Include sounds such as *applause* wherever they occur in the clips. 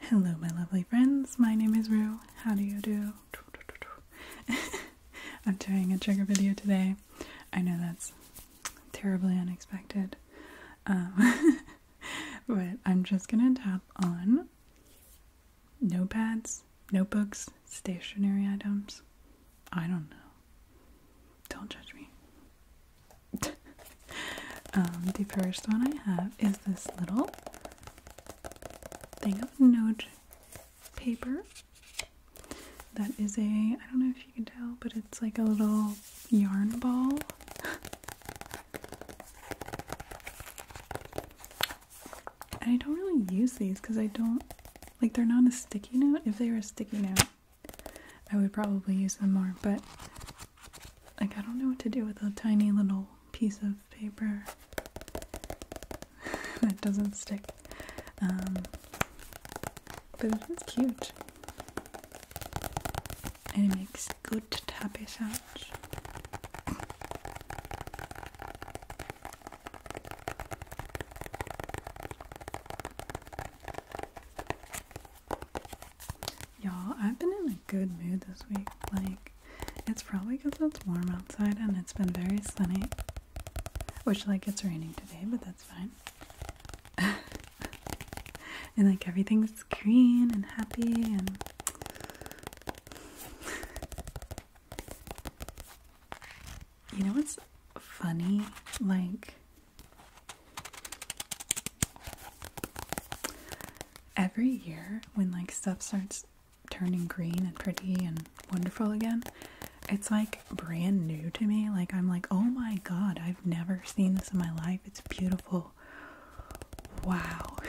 Hello, my lovely friends. My name is Rue. How do you do? *laughs* I'm doing a trigger video today. I know that's terribly unexpected, um, *laughs* but I'm just gonna tap on notepads, notebooks, stationery items. I don't know. Don't judge me. *laughs* Um, the first one I have is this little thing of note paper that is a, I don't know if you can tell, but it's like a little yarn ball. and I don't really use these because I don't, like they're not a sticky note. If they were a sticky note, I would probably use them more, but like, I don't know what to do with a tiny little piece of paper *laughs* that doesn't stick. Um, but it is cute. And it makes good tappy sounds. Y'all, I've been in a good mood this week. Like, it's probably because it's warm outside and it's been very sunny. Which, like, it's raining today, but that's fine. *laughs* and, like, everything's green and happy and. *laughs* you know what's funny? Like, every year when like stuff starts turning green and pretty and wonderful again, it's like brand new to me. Like I'm like, "Oh my god, I've never seen this in my life. It's beautiful." Wow. *laughs*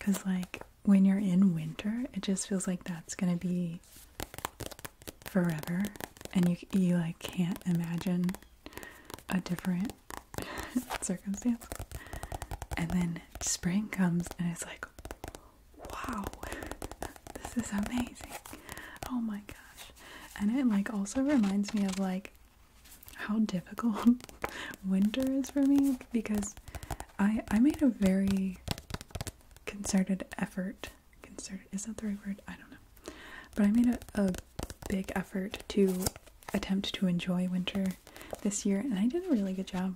cuz like when you're in winter, it just feels like that's going to be forever and you you like can't imagine a different *laughs* circumstance. And then spring comes and it's like, wow, *laughs* this is amazing. Oh my gosh. And it like also reminds me of like how difficult *laughs* winter is for me because I I made a very concerted effort concerted. Is that the right word? I don't know. But I made a, a big effort to attempt to enjoy winter this year, and I did a really good job,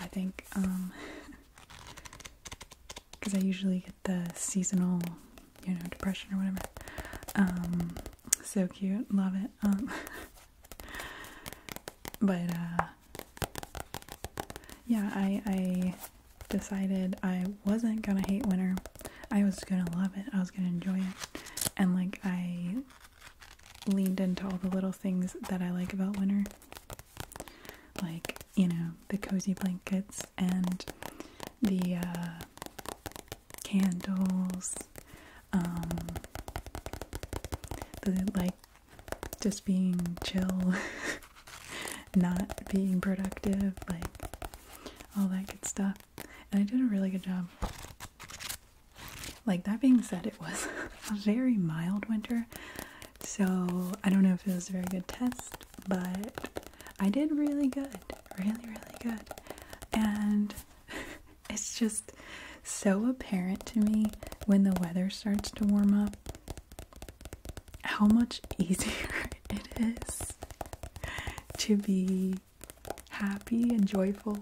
I think. Um, because *laughs* I usually get the seasonal, you know, depression or whatever. Um, so cute, love it. Um, *laughs* but uh, yeah, I I decided I wasn't gonna hate winter. I was gonna love it. I was gonna enjoy it. And like I leaned into all the little things that I like about winter. Like, you know, the cozy blankets and the uh, candles, um, the like just being chill, *laughs* not being productive, like all that good stuff and I did a really good job like that being said it was *laughs* a very mild winter so I don't know if it was a very good test but I did really good really really good and *laughs* it's just so apparent to me when the weather starts to warm up how much *laughs* easier it is to be happy and joyful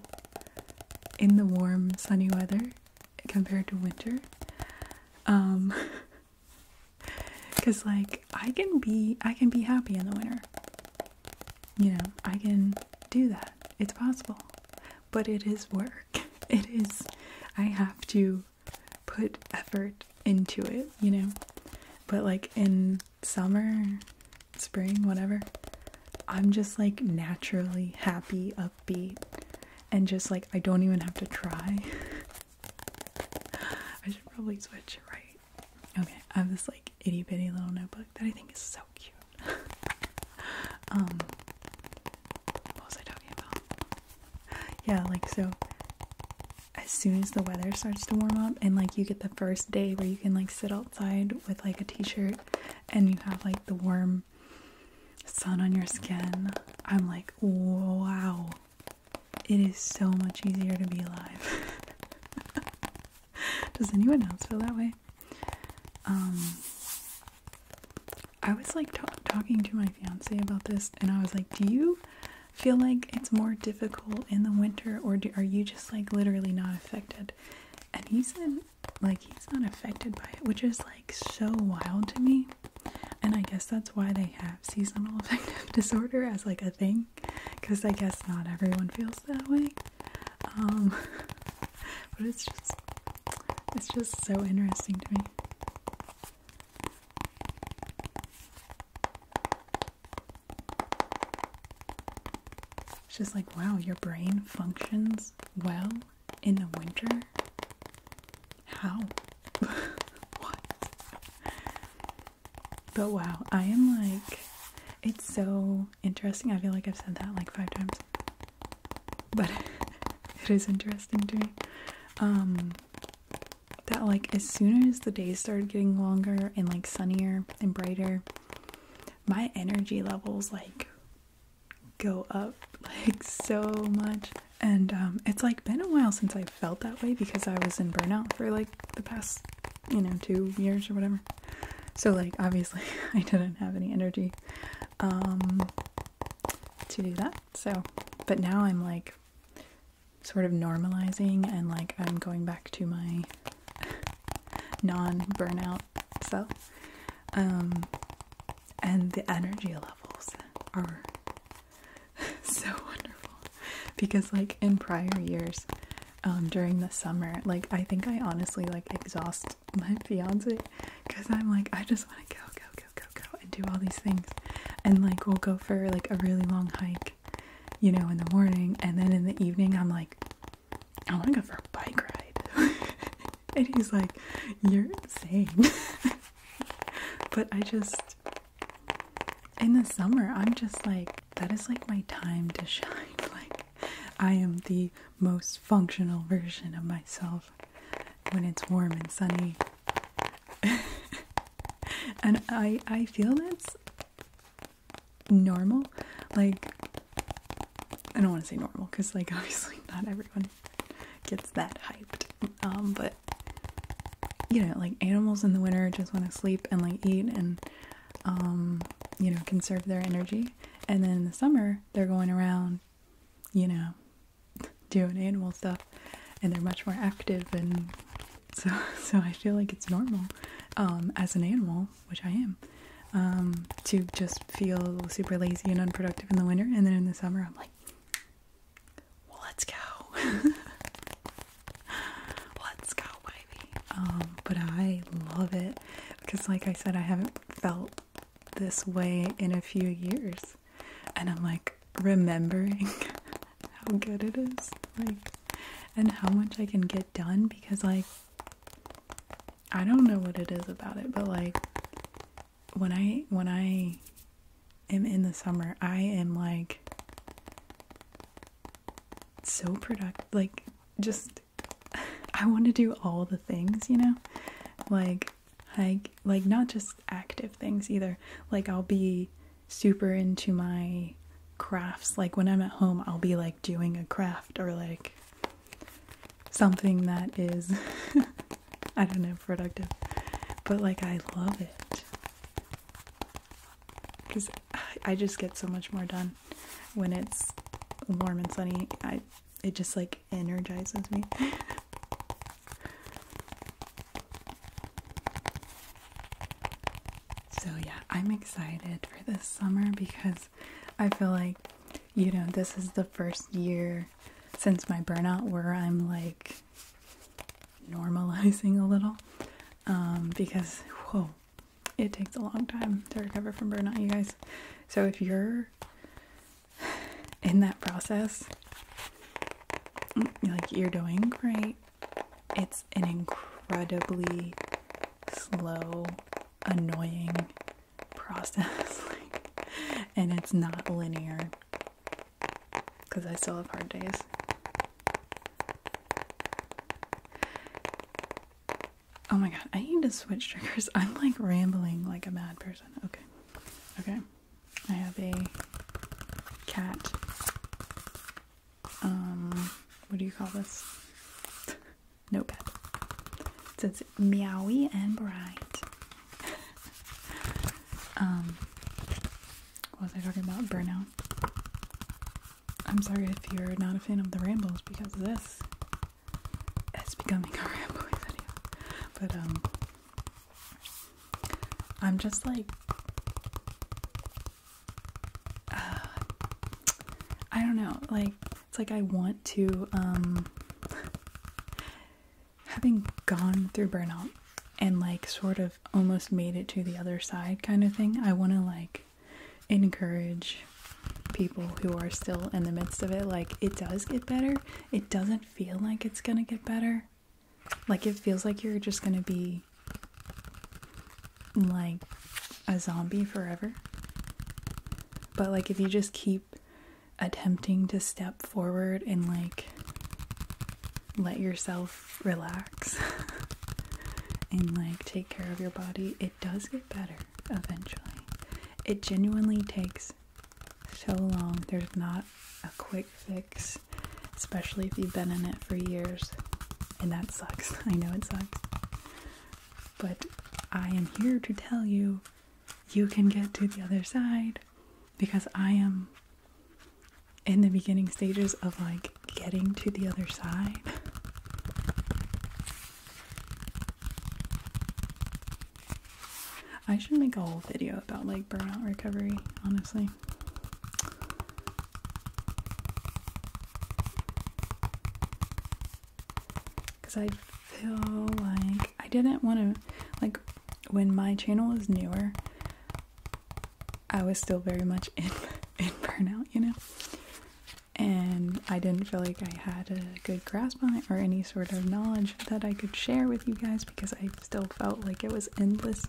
in the warm, sunny weather compared to winter. Um, because *laughs* like I can be, I can be happy in the winter. You know, I can do that. It's possible, but it is work. *laughs* It is. I have to put effort into it. You know, but like in summer, spring, whatever, I'm just like naturally happy, upbeat, and just like I don't even have to try. *laughs* I should probably switch, right? Okay, I have this like itty bitty little notebook that I think is so cute. *laughs* um, what was I talking about? Yeah, like so as soon as the weather starts to warm up and like you get the first day where you can like sit outside with like a t-shirt and you have like the warm sun on your skin i'm like wow it is so much easier to be alive *laughs* does anyone else feel that way um i was like talking to my fiance about this and i was like do you feel like it's more difficult in the winter, or are you just like literally not affected? And he said, like, he's not affected by it, which is like so wild to me. And I guess that's why they have seasonal *laughs* affective disorder as like a thing, because I guess not everyone feels that way. Um, *laughs* but it's just, it's just so interesting to me. It's just like, wow, your brain functions well in the winter? How? *laughs* what? But wow, I am like, it's so interesting. I feel like I've said that like five times. But *laughs* it is interesting to me. Um, that like as soon as the days started getting longer and like sunnier and brighter, my energy levels like go up *laughs* like so much. And um, it's like been a while since I felt that way because I was in burnout for like the past, you know, two years or whatever. So like obviously *laughs* I didn't have any energy um, to do that. So, but now I'm like sort of normalizing and like I'm going back to my *laughs* non burnout self. Um, and the energy levels are *laughs* so wonderful because, like, in prior years, um, during the summer, like, I think I honestly like exhaust my fiance because I'm like, I just want to go, go, go, go, go, and do all these things. And like, we'll go for like a really long hike you know, in the morning, and then in the evening, I'm like, I want to go for a bike ride. *laughs* and he's like, You're insane. *laughs* but I just, in the summer, I'm just like, that is like my time to shine. *laughs* Like, I am the most functional version of myself when it's warm and sunny. *laughs* and I I feel that's normal. Like I don't want to say normal because like *laughs* obviously not everyone gets that hyped. Um, but you know, like animals in the winter just want to sleep and like eat and um, you know, conserve their energy. And then in the summer they're going around, you know, *laughs* doing animal stuff and they're much more active and so, *laughs* so I feel like it's normal, um, as an animal, which I am, um, to just feel super lazy and unproductive in the winter, and then in the summer I'm like, well, let's go, *laughs* let's go, baby. Um, but I love it because, like I said, I haven't felt this way in a few years, and I'm like remembering *laughs* how good it is like and how much I can get done because like I don't know what it is about it but like when I when I am in the summer I am like so productive like just *laughs* I want to do all the things you know like like like not just active things either like I'll be super into my crafts. Like when I'm at home, I'll be like doing a craft or like something that is, *laughs* I don't know, productive. But like I love it. Because I just get so much more done when it's warm and sunny. I it just like energizes me. *laughs* So, yeah, I'm excited for this summer because I feel like, you know, this is the first year since my burnout where I'm like normalizing a little. Um, because, whoa, it takes a long time to recover from burnout, you guys. So, if you're in that process, like you're doing great. It's an incredibly slow, annoying process, *laughs* and it's not linear because I still have hard days. Oh my god, I need to switch triggers. *laughs* I'm like rambling like a mad person. Okay. Okay. I have a cat um, what do you call this? Notepad. It says meowy and bright. *laughs* um, what was I talking about? Burnout. I'm sorry if you're not a fan of the rambles because this is becoming a *laughs* rambling video. But, um, I'm just like I don't know, like it's like I want to um, having gone through burnout and like sort of almost made it to the other side kind of thing. I want to like encourage people who are still in the midst of it like it does get better. It doesn't feel like it's going to get better like it feels like you're just gonna be like a zombie forever. But like if you just keep attempting to step forward and like let yourself relax *laughs* and like take care of your body, it does get better eventually. It genuinely takes so long. There's not a quick fix especially if you've been in it for years. And that sucks. *laughs* I know it sucks. But I am here to tell you you can get to the other side because I am in the beginning stages of like getting to the other side. I should make a whole video about like burnout recovery, honestly. Because I feel like I didn't want to, like, when my channel was newer, I was still very much *laughs* in, in burnout, you know? And I didn't feel like I had a good grasp on it or any sort of knowledge that I could share with you guys because I still felt like it was endless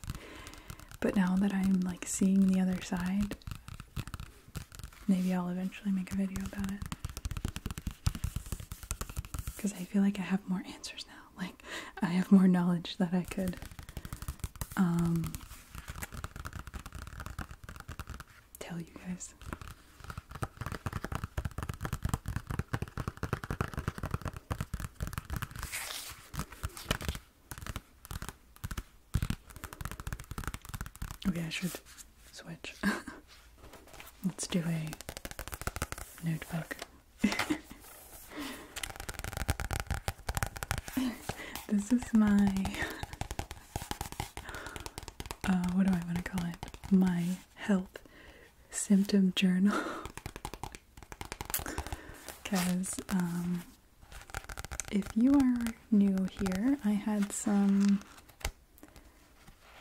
but now that I'm like seeing the other side, maybe I'll eventually make a video about it. Because I feel like I have more answers now. *laughs* Like, I have more knowledge that I could um, tell you guys. Okay, I should switch. *laughs* Let's do a notebook. *laughs* this is my. *laughs* Uh, what do I want to call it? My health symptom journal. Because um, if you are new here, I had some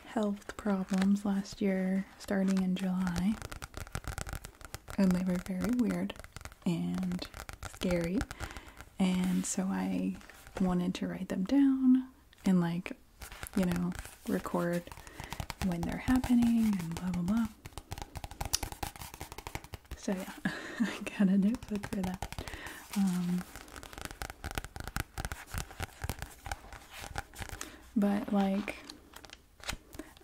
health problems last year starting in July, and they were very weird and scary. And so I wanted to write them down and, like, you know, record when they're happening and blah blah blah. So yeah, *laughs* I got a notebook for that. Um, but like,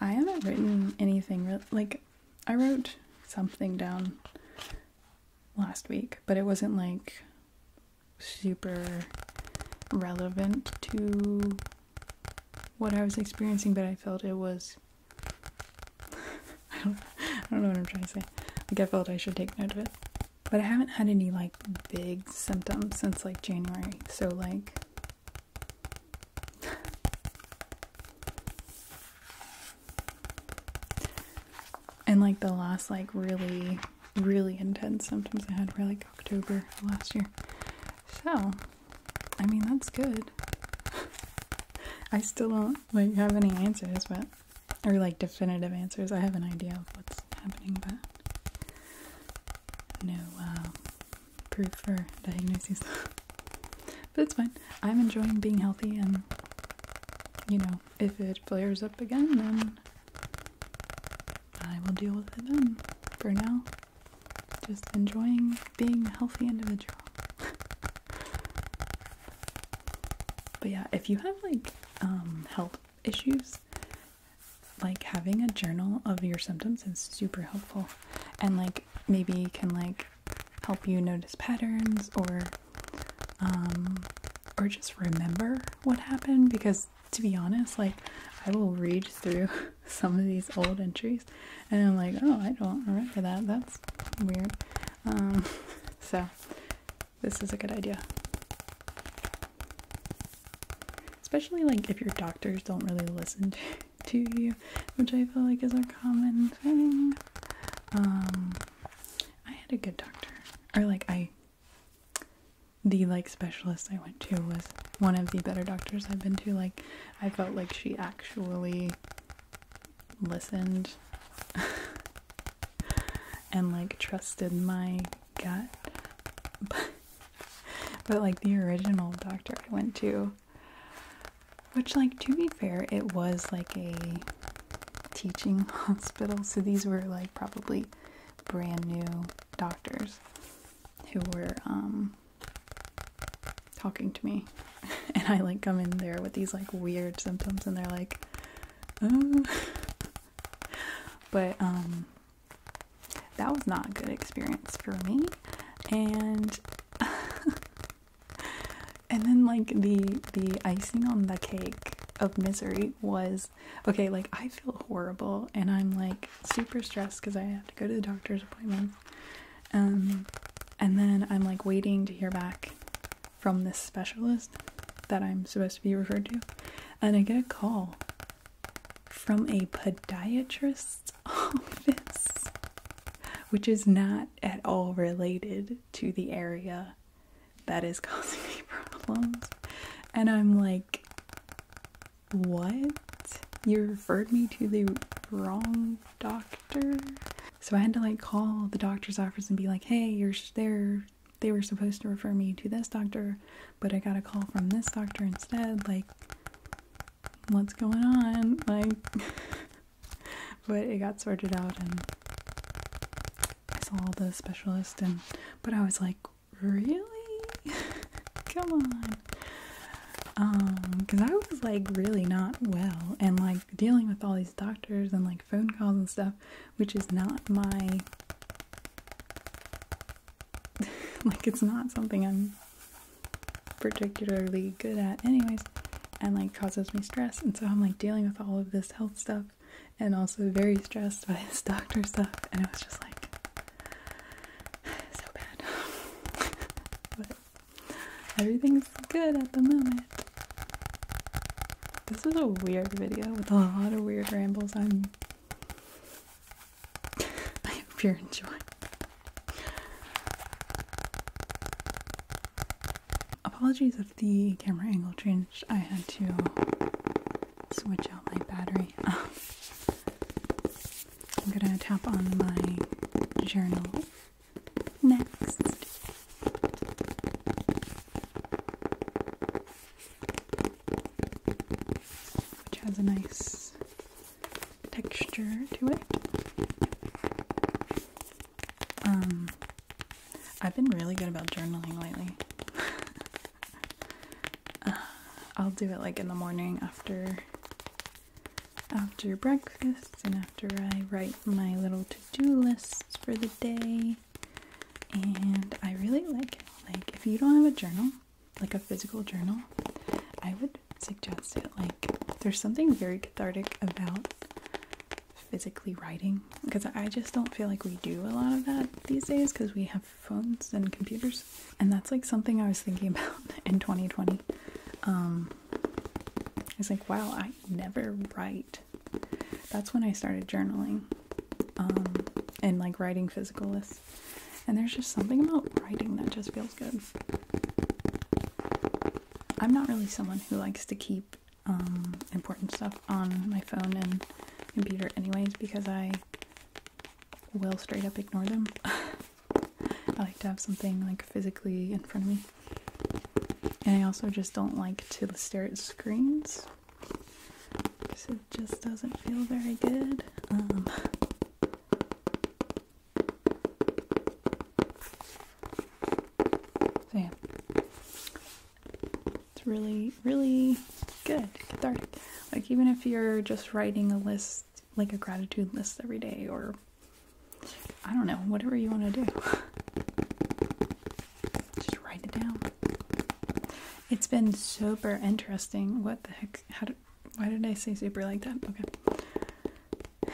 I haven't written anything. Re- like, I wrote something down last week, but it wasn't like super relevant to what I was experiencing, but I felt it was. *laughs* I, don't, I don't know what I'm trying to say. Like, I felt I should take note of it. But I haven't had any, like, big symptoms since, like, January. So, like. *sighs* and, like, the last, like, really, really intense symptoms I had were, like, October last year. So, I mean, that's good. *laughs* I still don't like have any answers, but or like definitive answers. I have an idea of what's happening, but no uh, proof for diagnoses. *laughs* but it's fine. I'm enjoying being healthy, and you know, if it flares up again, then I will deal with it then. For now, just enjoying being a healthy individual. *laughs* but yeah, if you have like um, health issues, like having a journal of your symptoms is super helpful and like maybe can like help you notice patterns or um or just remember what happened because to be honest like I will read through *laughs* *laughs* some of these old entries, and I'm like, oh, I don't remember that. That's weird. Um, *laughs* so this is a good idea, especially like if your doctors don't really listen *laughs* to, you, which I feel like is a common thing. Um, I had a good doctor, or like I the like specialist I went to was one of the better doctors I've been to. Like I felt like she actually listened *laughs* and like trusted my gut. But, *laughs* but like the original doctor I went to, which like to be fair, it was like a teaching *laughs* hospital, so these were like probably brand new doctors who were um, talking to me *laughs* and I like come in there with these like weird symptoms and they're like oh. but um that was not a good experience for me and *laughs* and then like the the icing on the cake of misery was okay like I feel horrible and I'm like super stressed cuz I have to go to the doctor's appointment um, and then I'm like waiting to hear back from this specialist that I'm supposed to be referred to. And I get a call from a podiatrist's *laughs* office, which is not at all related to the area that is *laughs* causing me problems. And I'm like, what? You referred me to the wrong doctor? So I had to like call the doctor's office and be like, hey, you're there. They were supposed to refer me to this doctor, but I got a call from this doctor instead. Like, what's going on? Like, *laughs* but it got sorted out and I saw the specialist, and but I was like, really? *laughs* Come on on um, because I was like really not well and like dealing with all these doctors and like phone calls and stuff, which is not my *laughs* like it's not something I'm particularly good at, anyways, and like causes me stress. And so I'm like dealing with all of this health stuff and also very stressed by *laughs* this doctor stuff, and it was just like *sighs* so bad. *laughs* Everything's good at the moment. This is a weird video with a lot of weird rambles. I'm. *laughs* I hope you're enjoying. Apologies if the camera angle changed. I had to switch out my battery. *laughs* I'm gonna tap on my journal next. Which has a nice texture to it. Um, I've been really good about journaling lately. *laughs* Uh, I'll do it like in the morning after after breakfast and after I write my little to-do lists for the day. And I really like it. Like if you don't have a journal, like a physical journal, I would suggest it. Like there's something very cathartic about physically writing because I just don't feel like we do a lot of that these days because we have phones and computers and that's like something I was thinking *laughs* about in 2020. Um, I was like, wow, I never write. That's when I started journaling, um, and like writing physical lists. And there's just something about writing that just feels good. I'm not really someone who likes to keep um, important stuff on my phone and computer, anyways, because I will straight up ignore them. *laughs* I like to have something like physically in front of me. And I also just don't like to stare at screens. it just doesn't feel very good. Um, so yeah. It's really, really good. Cathartic. Like even if you're just writing a list like a gratitude list every day or I don't know, whatever you want to do. Just write it down. It's been super interesting. What the heck? How why did I say super like that? Okay.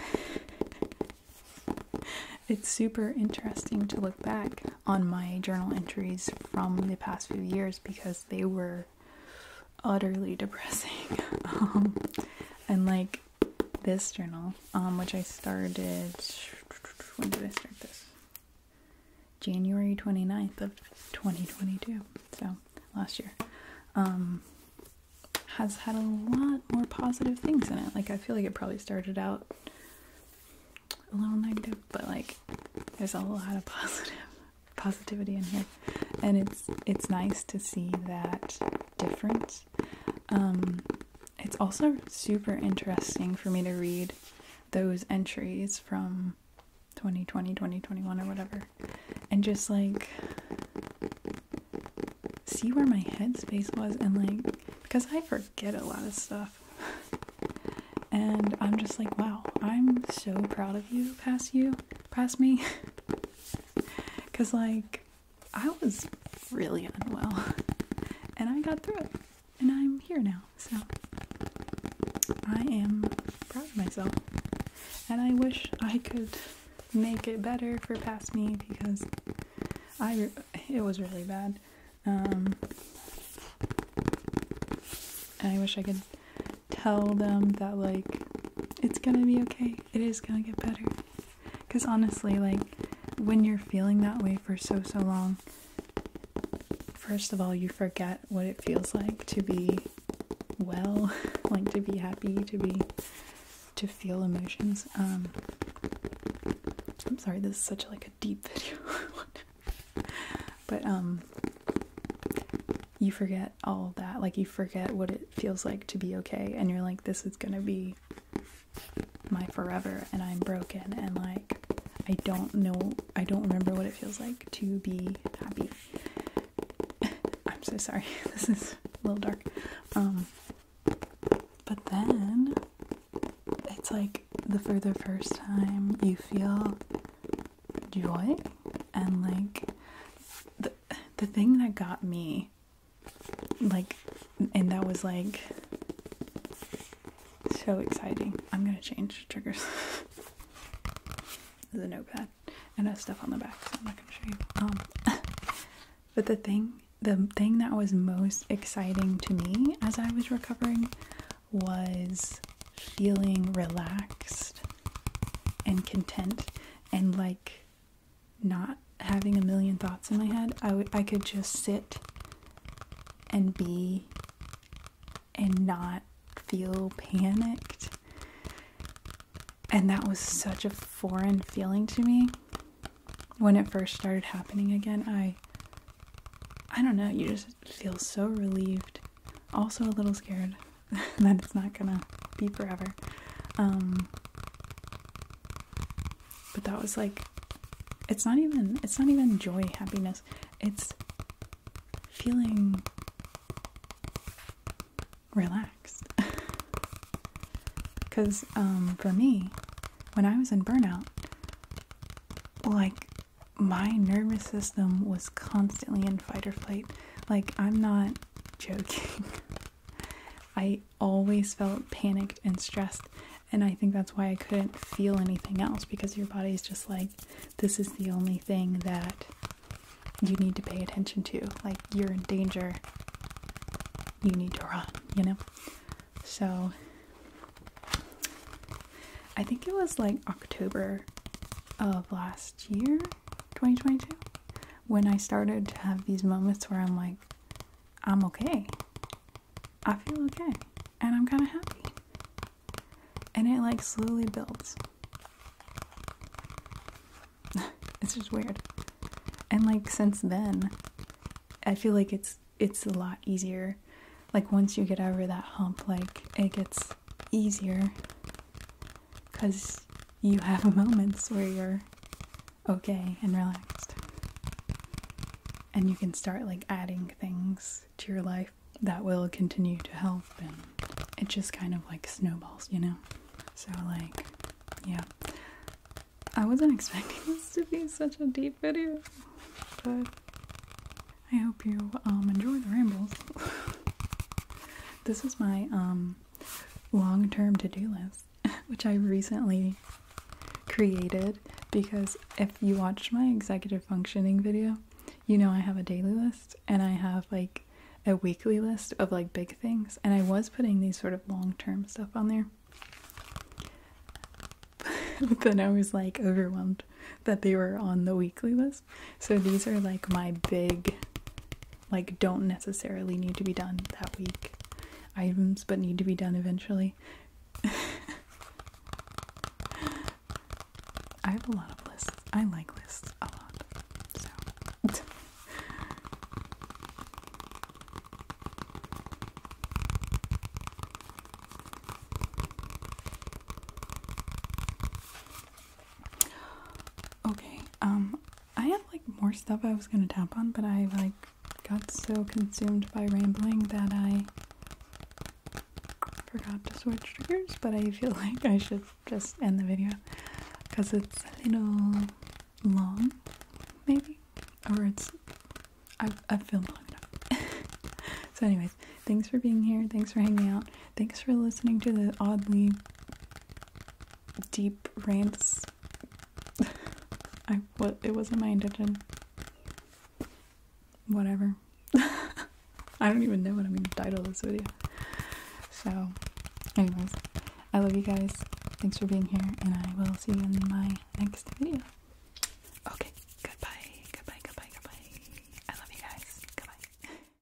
It's super interesting to look back on my journal entries from the past few years because they were utterly depressing. *laughs* Um, and like this journal, um, which I started. When did I start this? January 29th of 2022. So last year. Um, has had a lot more positive things in it. Like I feel like it probably started out a little negative, but like there's a lot *laughs* of positive positivity in here, and it's it's nice to see that difference. Um, it's also super interesting for me to read those entries from 2020, 2021, or whatever, and just like see where my headspace was, and like because I forget a lot of stuff. and I'm just like, wow, I'm so proud of you, past you, past me. *laughs* Because, *laughs* like, I was really unwell *laughs* and I got through it and I'm here now. So I am proud of myself and I wish I could make it better for past me because I it was really bad. Um, and I wish I could tell them that like it's gonna be okay. It is gonna get better. Cause honestly, like when you're feeling that way for so so long, first of all, you forget what it feels like to be well, *laughs* like to be happy, to be to feel emotions. Um I'm sorry, this is such like a deep *laughs* video. but um you forget all of that. Like, you forget what it feels like to be okay, and you're like, this is gonna be my forever, and I'm broken, and like, I don't know, I don't remember what it feels like to be happy. *laughs* I'm so sorry, *laughs* this is a little dark. Um, but then it's like the for the first time you feel joy and like the, the thing that got me like and that was like so exciting. I'm gonna change triggers. *laughs* the notepad and have stuff on the back, so I'm not gonna show you. Um, *laughs* but the thing, the thing that was most exciting to me as I was recovering was feeling relaxed and content and like not having a million thoughts in my head, I would I could just sit and be and not feel panicked. And that was such a foreign feeling to me. When it first started happening again, I I don't know, you just feel so relieved also a little scared *laughs* that it's not gonna be forever. Um, but that was like, it's not even, it's not even joy, happiness. It's feeling relaxed. Because *laughs* um, for me, when I was in burnout, like my nervous system was constantly in fight or flight. Like, I'm not joking. *laughs* I always felt panicked and stressed, and I think that's why I couldn't feel anything else because your body is just like, this is the only thing that you need to pay attention to. Like, you're in danger, you need to run, you know? So, I think it was like October of last year 2022 when I started to have these moments where I'm like, I'm okay. I feel okay. And I'm kind of happy. And it like slowly builds. *laughs* it's just weird. And like since then, I feel like it's it's a lot easier. Like once you get over that hump, like it gets easier because you have *laughs* moments where you're okay and relaxed. And you can start like adding things to your life that will continue to help and it just kind of like snowballs, you know? So, like, yeah. I wasn't *laughs* expecting this to be such a deep video, but I hope you um, enjoy the rambles. *laughs* This is my um, long-term to-do list, *laughs* which I recently created because if you watched my executive functioning video, you know I have a daily list and I have like a weekly list of like big things and I was putting these sort of long-term stuff on there. *laughs* but then I was like overwhelmed that they were on the weekly list so these are like my big, like, don't necessarily need to be done that week items, but need to be done eventually. *laughs* I have a lot of lists. I like lists a lot. So. Okay, um, I have like more stuff I was gonna tap on, but I like got so consumed by rambling that I forgot to switch triggers, but I feel *laughs* like I should just end the video because it's a little long, maybe, or it's I've, I've filmed long enough. *laughs* so, anyways, thanks for being here. Thanks for hanging out. Thanks for listening to the oddly deep rants. *laughs* I what it wasn't my intention. Whatever. *laughs* I don't even know what I'm gonna title this video. So, anyways, I love you guys. Thanks for being here, and I will see you in my next video. Okay, goodbye, goodbye, goodbye, goodbye. I love you guys. Goodbye. *laughs*